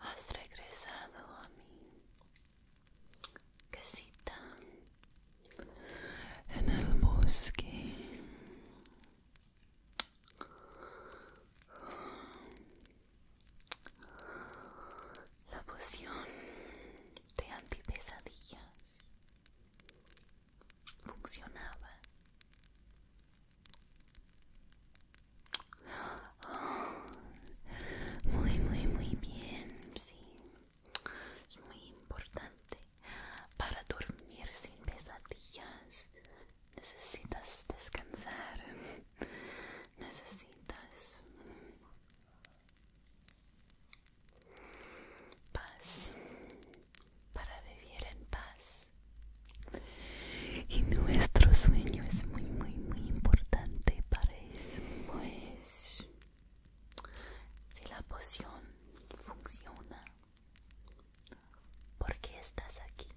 Has regresado a mi casita en el bosque la poción de antipesadillas funcionaba. muy, muy, muy bien, sí. Es muy importante para dormir sin pesadillas necesitas descansar, necesitas paz para vivir en paz. Y nuestro sueño es muy, muy, muy importante para eso. Pues, si la poción funciona ¿Por qué estás aquí?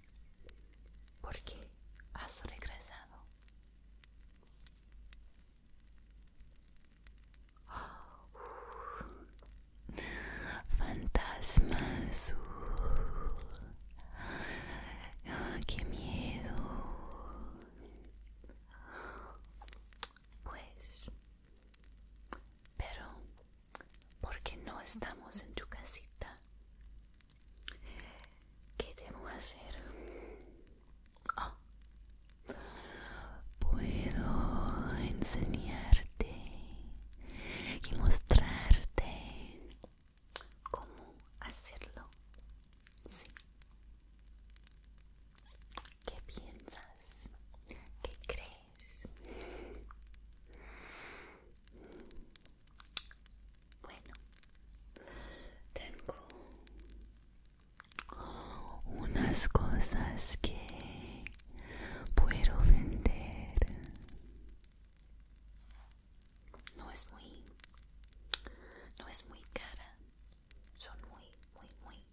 ¿Por qué has regresado? Fantasmas. fantasma ah, ¡Qué miedo! Pues, pero porque no estamos en tu casita. ¿Qué debo hacer? Ah, puedo enseñarte y mostrarte cómo hacerlo. ¿Qué piensas? ¿Qué crees? Bueno, tengo unas cosas que puedo vender. No es muy, no es muy cara. Son muy, muy, muy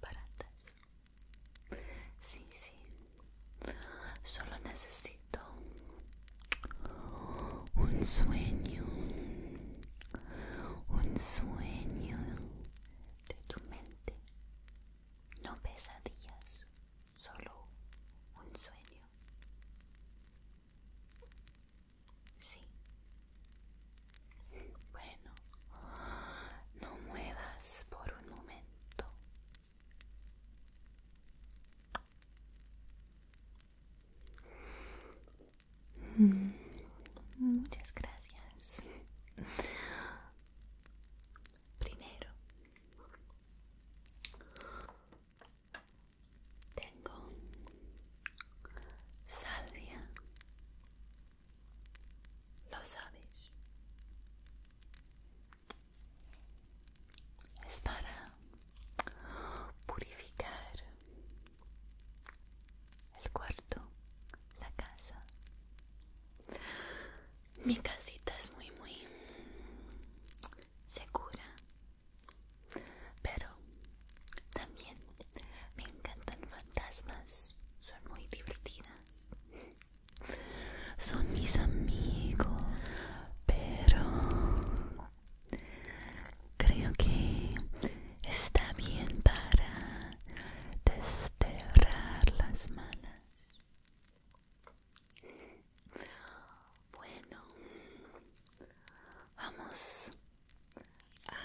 baratas. Sí, sí. Solo necesito un sueño. Un sueño de tu mente. No pesadillas. Solo un sueño. Sí. Bueno, no muevas por un momento. Mm, muchas gracias primero tengo salvia lo sabes. Es para purificar el cuarto, la casa. Mi casita es muy, muy segura. Pero también me encantan fantasmas. Son muy divertidas son mis amigos, pero creo que está bien para desterrar las malas. Bueno, vamos a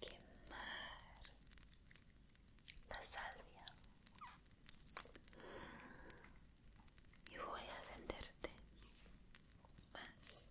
quemar la salvia y voy a venderte más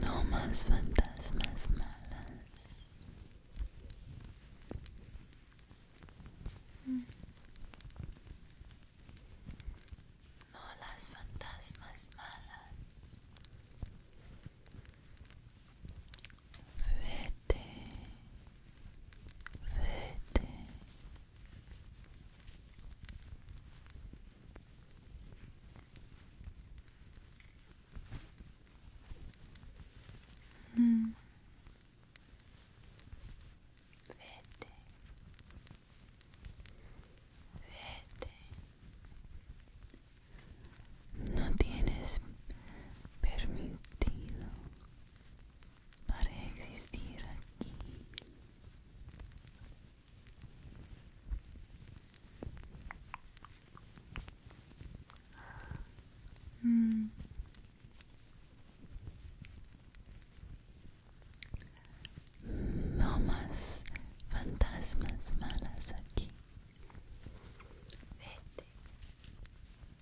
No más fantasmas malas. No las fantasmas malas. Vete. Vete. Vete. Vete. No tienes permitido para existir aquí. Mm. No más fantasmas malas aquí.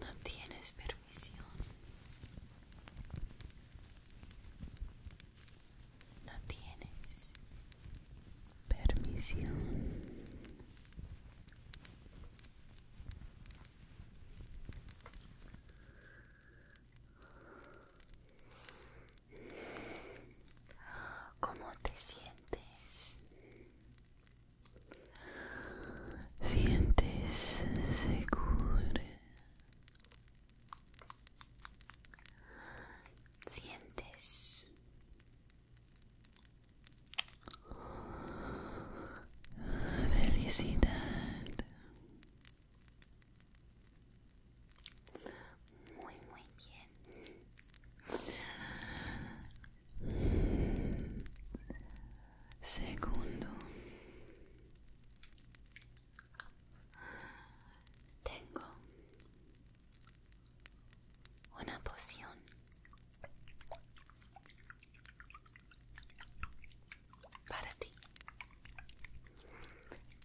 No tienes permisión. No tienes permisión. ¿Cómo te sientes? sientes seguro sientes felicidad muy muy bien Segundo, tengo una poción. Para ti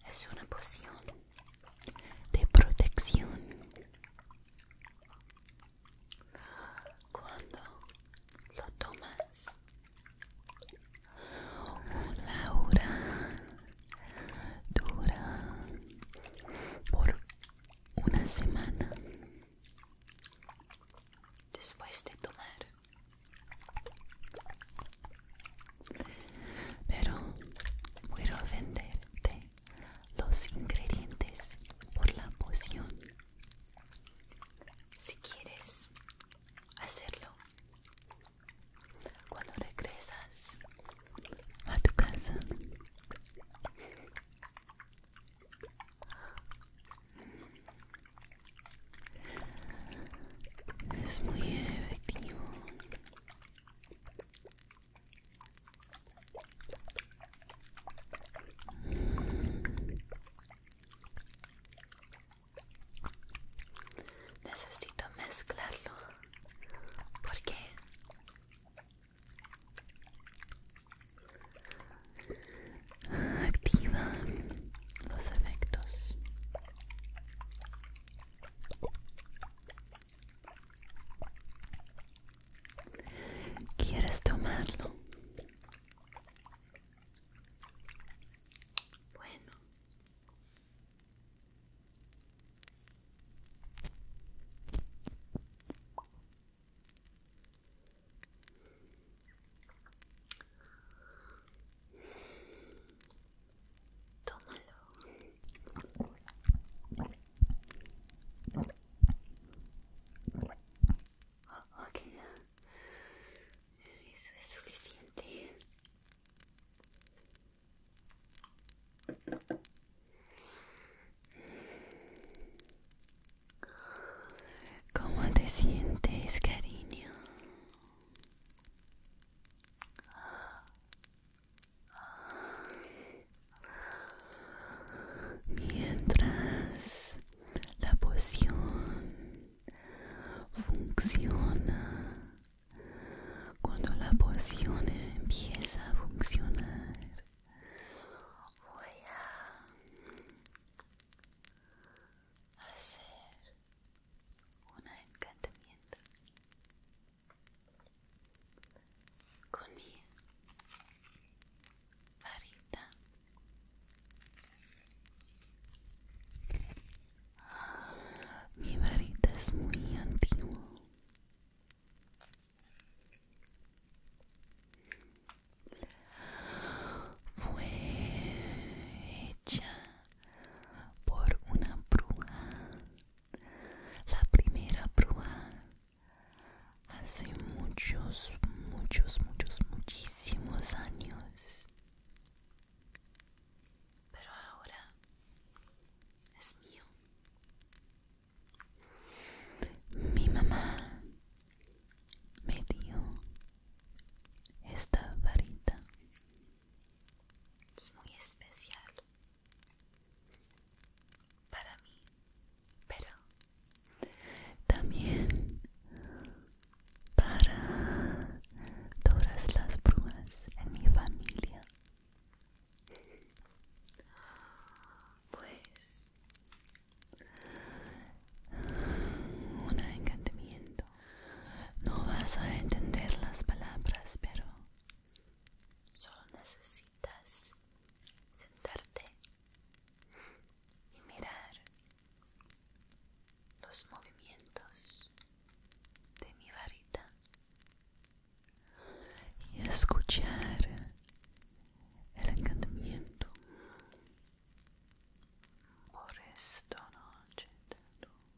es una poción de protección cuando lo tomas la dura por una semana después de tomar pero puedo venderte los ingredientes por la poción. Si quieres hacerlo, cuando regresas a tu casa, es muy efectivo Necesito mezclarlo porque activa los efectos. ¿Quieres tomarlo? Bueno. Tómalo. Eso es suficiente. ¿Cómo te sientes, cariño? Mientras la poción funciona, cuando la poción empieza a funcionar, voy a hacer un encantamiento con mi varita mi varita es muy antigua fue hecha por una bruja la primera prueba hace muchos, muchos, muchos, muchísimos años. Pero ahora es mío. Mi mamá me dio esta varita es muy especial para mí, pero también para todas las brujas en mi familia. Pues un encantamiento. No vas a entender las palabras, pero Solo necesitas sentarte y mirar los movimientos de mi varita y escuchar el encantamiento por esta noche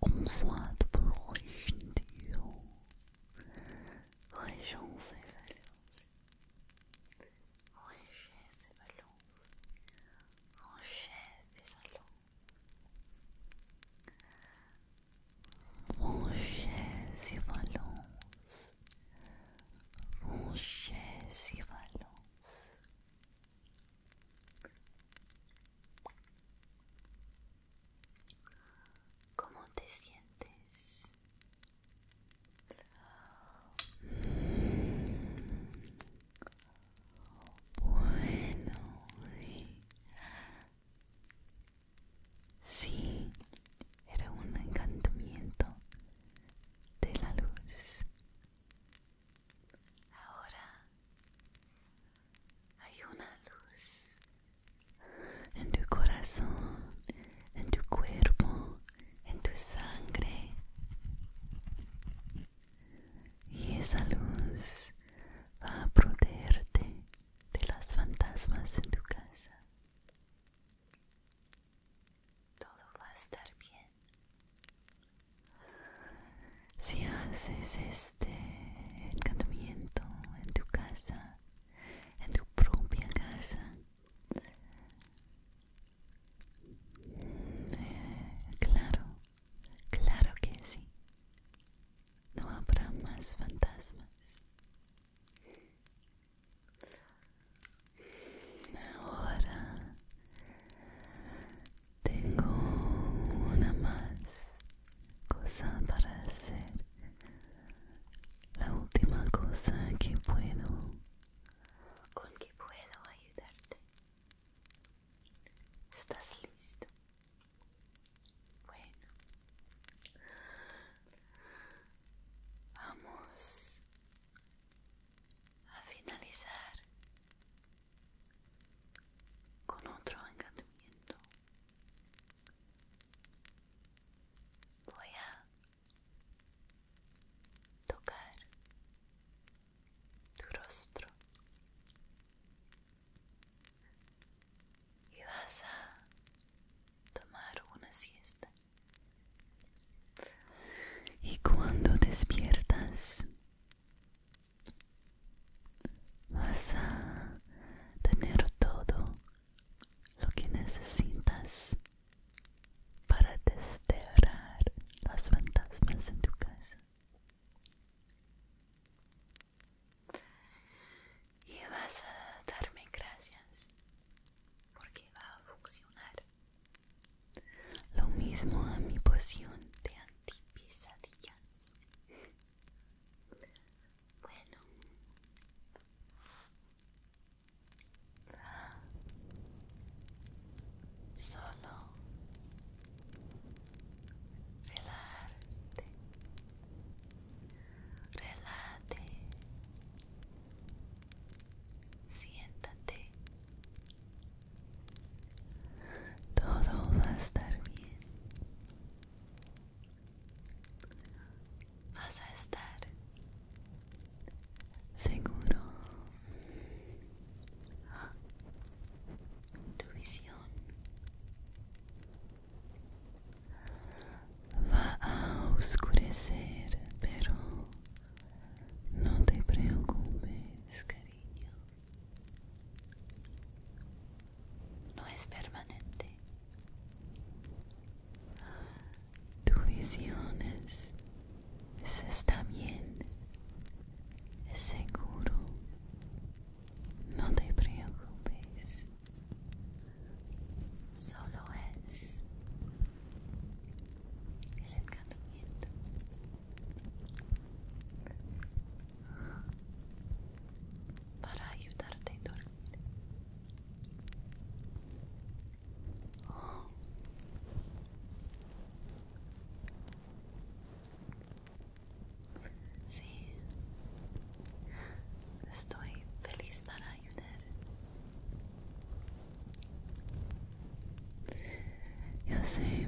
Comme soit pour riche, Dieu. Réjance et balance. Réjance et balance. Réjance et balance. Réjance et balance. Réjance et balance. Réjance et balance. Réjance et balance. ¿Cómo te sientes? Bueno, sí. era un encantamiento de la luz Ahora hay una luz en tu corazón, en tu cuerpo, en tu sangre. Y esa luz va a protegerte de las fantasmas en tu casa. Todo va a estar bien. Si haces este encantamiento en tu casa, en tu propia casa, eh, claro, claro que sí. No habrá más fantasmas. Ahora tengo una más cosa para hacer. La última cosa que puedo, con que puedo ayudarte. ¿Estás listo? Bueno. Vamos a finalizar con otro encantamiento. Voy a tocar tu rostro y vas a tomar una siesta y cuando despiertas, vas a tener todo lo que necesitas para desterrar las fantasmas en tu casa. Y vas a darme gracias porque va a funcionar. Lo mismo a mi poción de antipisadillas. Bueno. Solo relate relate, siéntate todo va a estar bien. Vas a estar seguro. tu visión va a oscurecer, pero no te preocupes, cariño. No es permanente. Tu visión es, está bien. Es seguro. No te preocupes. Solo es. El para ayudarte a dormir. Sí, estoy feliz para ayudar. Yo sé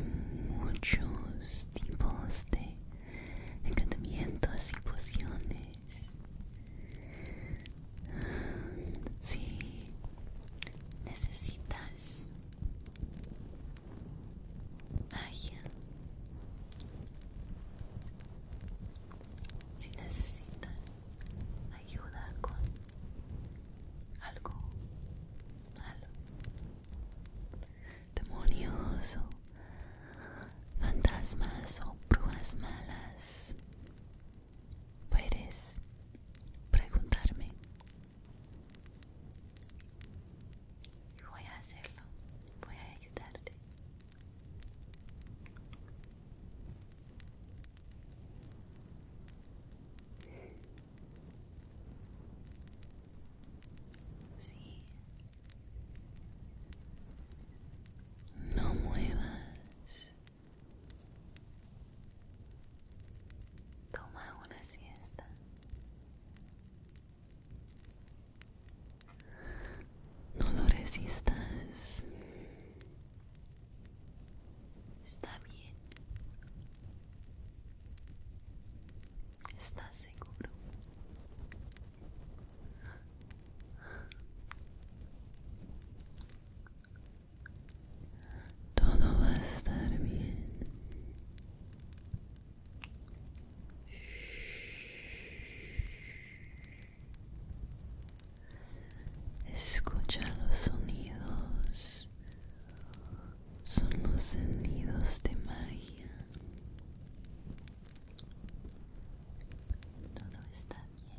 muchos tipos de encantamientos y pociones. Si necesitas ayuda si necesitas ayuda con algo malo, demonios o fantasmas o pruebas malas, puedes preguntarme. Voy a hacerlo, voy a ayudarte. No muevas. Toma una siesta. No lo resistas. Está bien. está seguro? Todo va a estar bien. Escucha los sonidos. Son los sonidos de magia. Todo está bien.